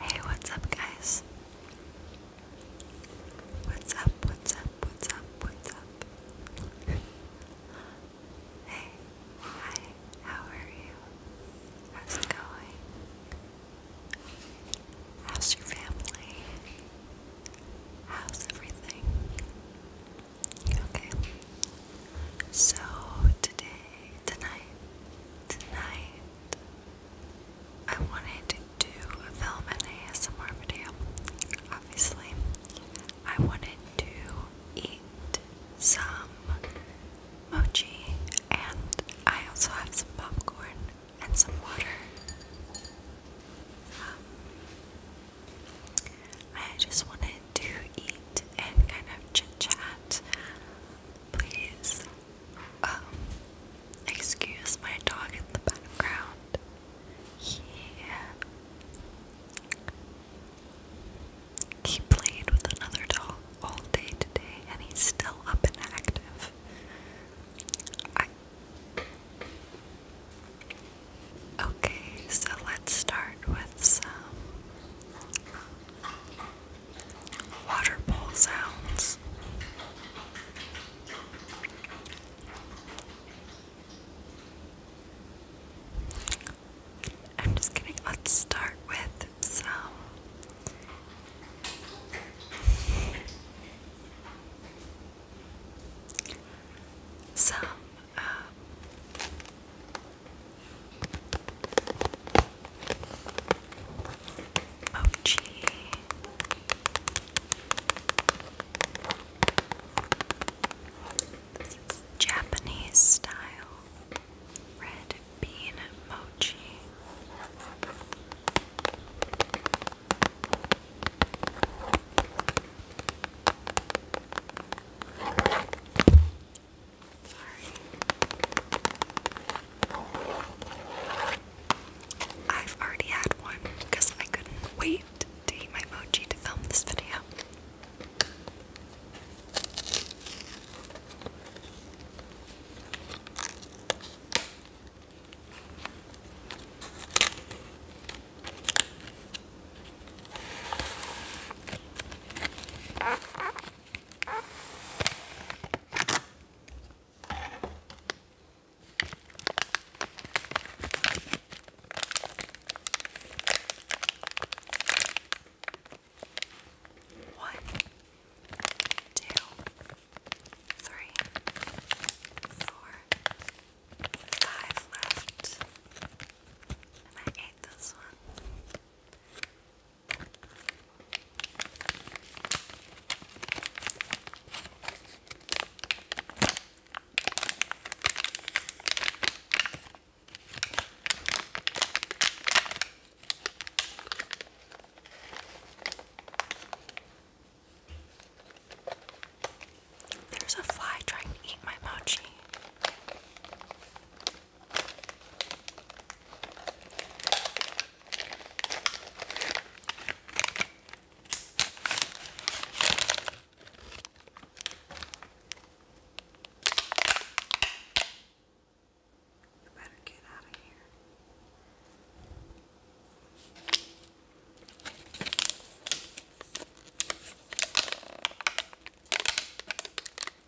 Hey, what's up, guys? What's up, what's up, what's up, what's up? hey, hi, how are you? How's it going? How's your family? How's everything? Okay. So, today tonight, tonight, I wanted to do a film and ASMR video. Obviously, I wanted to eat some mochi, and I also have some popcorn and some water. Um, I just wanted to eat and kind of chit chat Please, um, excuse my dog in the background. He, he played with another dog all day today, and he's still up and active. Okay, so let's start with some water bowl sounds. I'm just kidding. Let's start with some some uh, Mochi. Oh, Japanese style red bean mochi. I've already had one because I couldn't wait to eat my mochi to film this video. One, two, three, four, five left. I ate this one. There's a fly trying to eat my mochi. You better get out of here.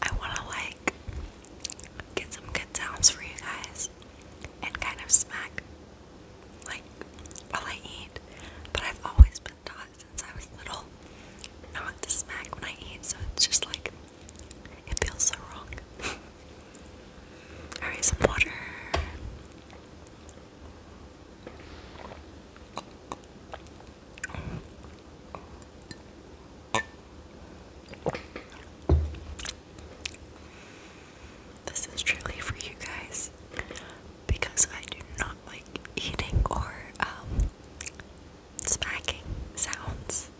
I want to like get some good sounds for you guys and kind of smack like while I eat, but I've always been taught since I was little not to smack when I eat, so it's just like it feels so wrong. Alright, some water. This is truly for you guys because I do not like eating or um, smacking sounds.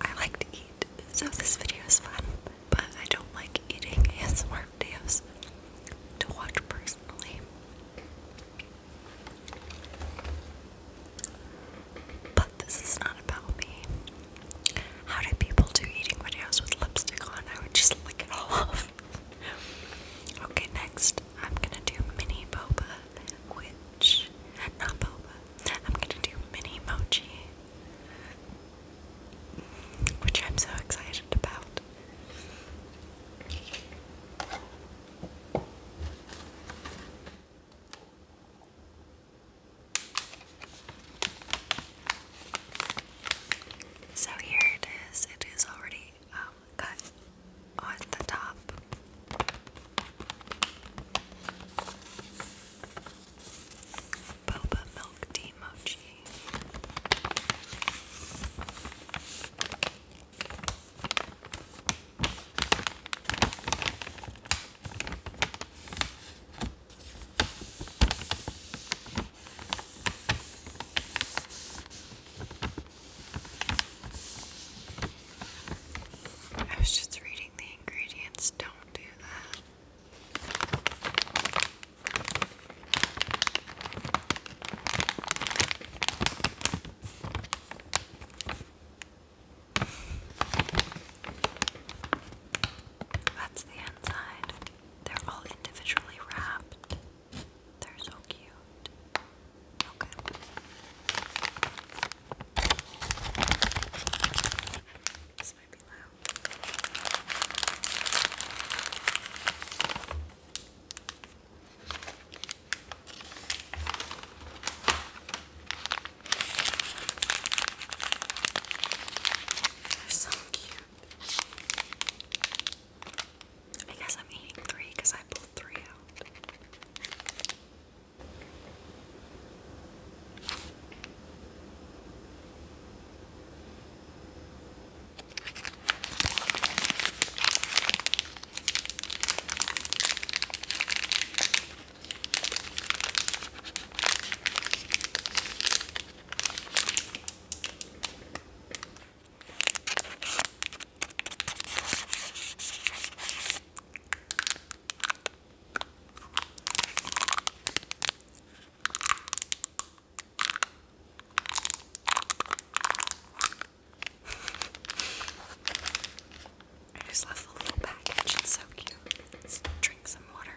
I like to eat, so this video is fun, but I don't like eating ASMR videos to watch personally. But this is not about me. How do people do eating videos with lipstick on? I would just lick it all off. okay, next I'm gonna do mini boba, which not boba. I'm gonna do mini mochi, which I'm so excited about. So here it is, it is already um, cut on the top. Boba milk tea mochi. I was just reading the ingredients. Don't do that. That's the inside. They're all individually wrapped. They're so cute. Okay. This might be loud. They're so cute. I guess I'm eating three because I pulled three out. I just left a little package. It's so cute. Let's drink some water.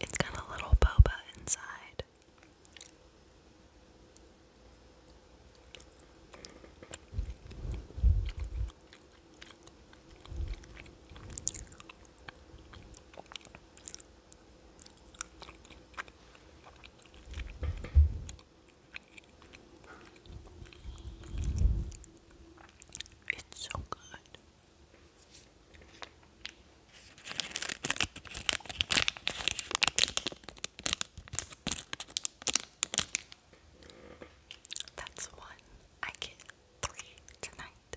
It's got a little boba inside side. It's so good. That's one. I get three tonight.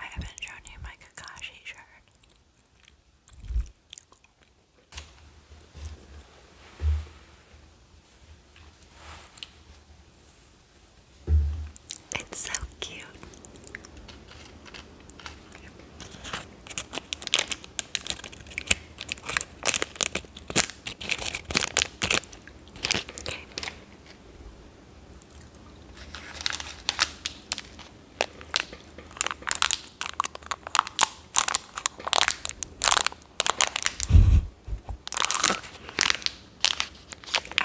I haven't shown you my Kakashi shirt. It's so cute. I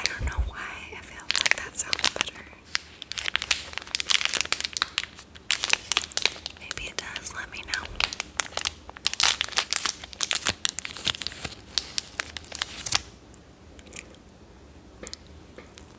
don't know why I feel like that sounds better. Maybe it does, let me know.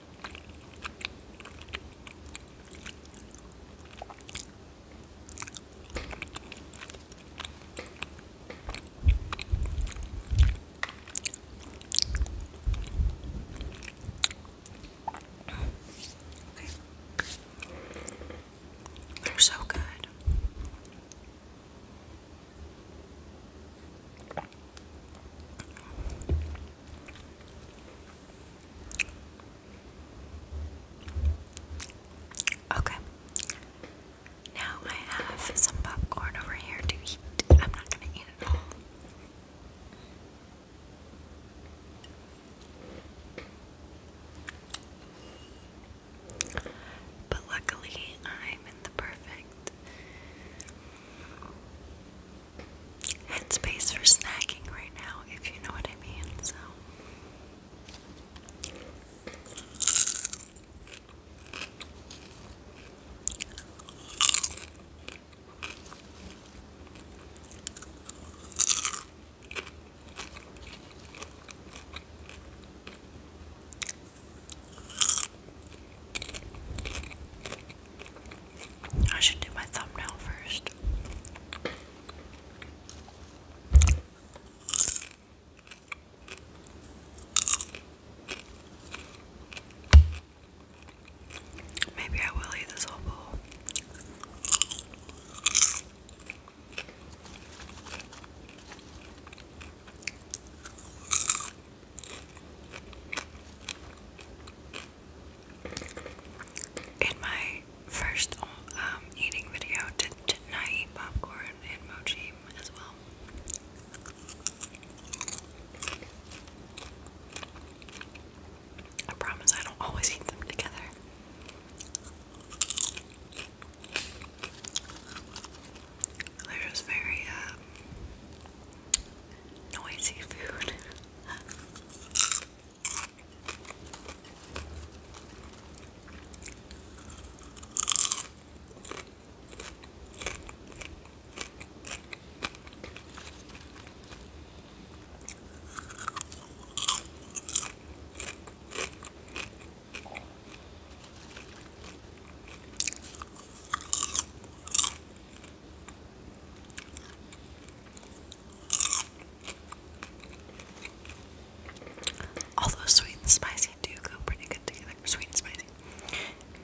Okay. They're so good. Okay. Now I have some popcorn over here to eat. I'm not going to eat it all. But luckily, I'm in the perfect and space for snacking right now, if you know what I mean. So. I should do my thumbnail first. Maybe I will eat this whole bowl. In my first um, eating video, did, not I eat popcorn and mochi as well? I promise I don't always eat them together. They're just very, um, noisy food. Although sweet and spicy do go pretty good together. Sweet and spicy.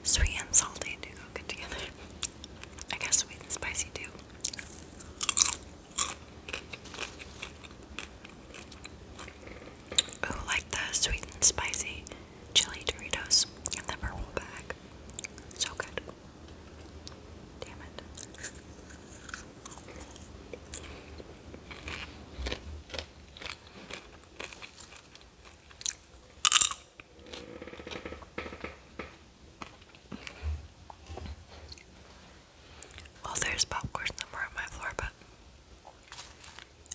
Sweet and salty do go good together. I guess sweet and spicy do. Oh, like the sweet and spicy chili Doritos in the purple bag. So good. Damn it. Well, there's popcorn somewhere on my floor, but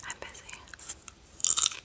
I'm busy.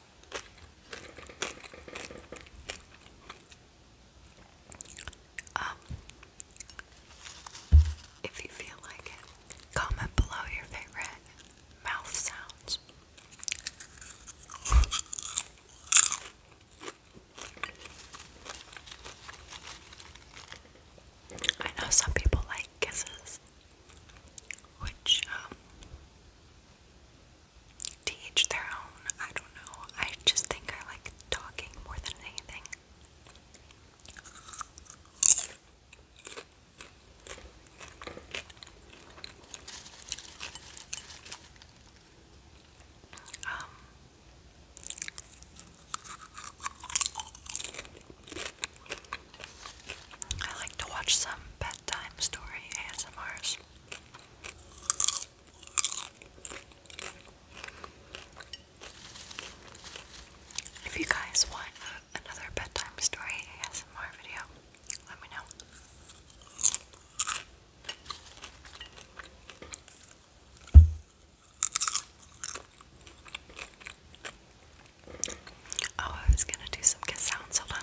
Um, if you feel like it, comment below your favorite mouth sounds. I know some people like kisses, which, um, Teach their own. I don't know. I just think I like talking more than anything. Um I like to watch some bedtime story ASMRs. If you guys want another bedtime story ASMR video, let me know. Oh, I was gonna do some kiss sounds. Hold on.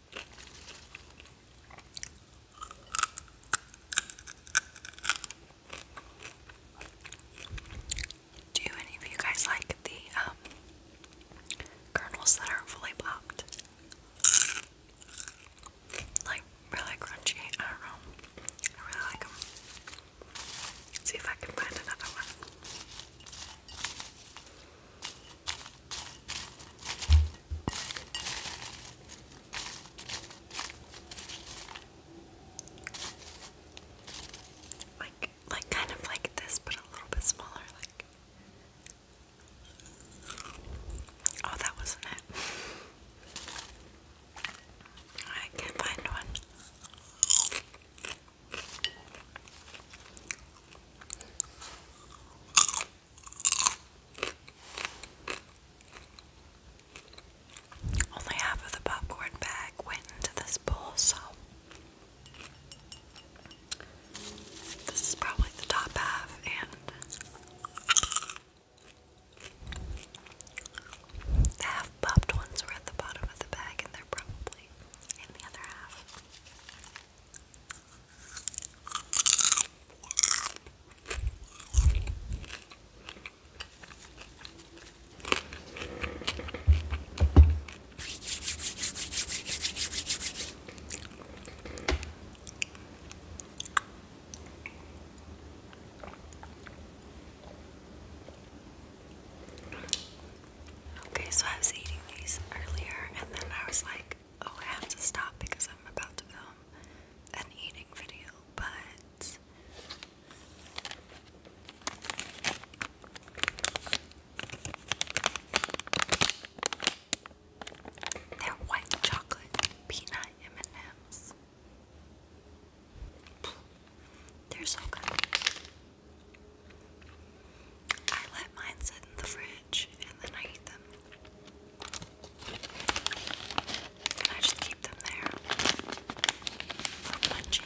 Do any of you guys like the um, kernels that are fully popped? Like really crunchy. I don't know. I really like them. Let's see if I can find another one. Like, like kind of like this, but a little bit smaller. Like, oh, that wasn't it. I can't find one. Only half of the popcorn bag went into this bowl, so this is probably the top half, and the half popped ones were at the bottom of the bag, and they're probably in the other half. Okay, so I was eating these earlier, and then I was like, oh, I have to stop because I'm about to film an eating video, but they're white chocolate peanut M&Ms. They're so good. I let mine sit in the fridge and then I eat them. And I just keep them there for munching.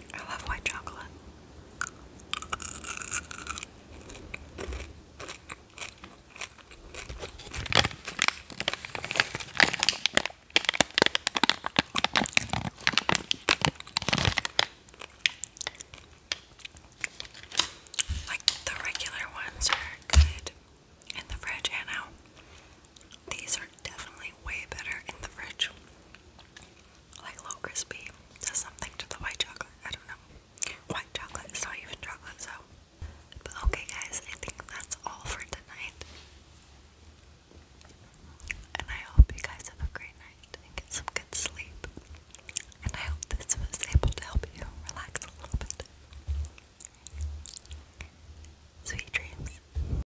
I love white chocolate. Like the regular ones are good in the fridge and out. These are definitely way better in the fridge. Like Low Crispy does something to the white chocolate. I don't know. White chocolate not even chocolate, so. But okay, guys, I think that's all for tonight. And I hope you guys have a great night and get some good sleep. And I hope this was able to help you relax a little bit. Sweet dreams.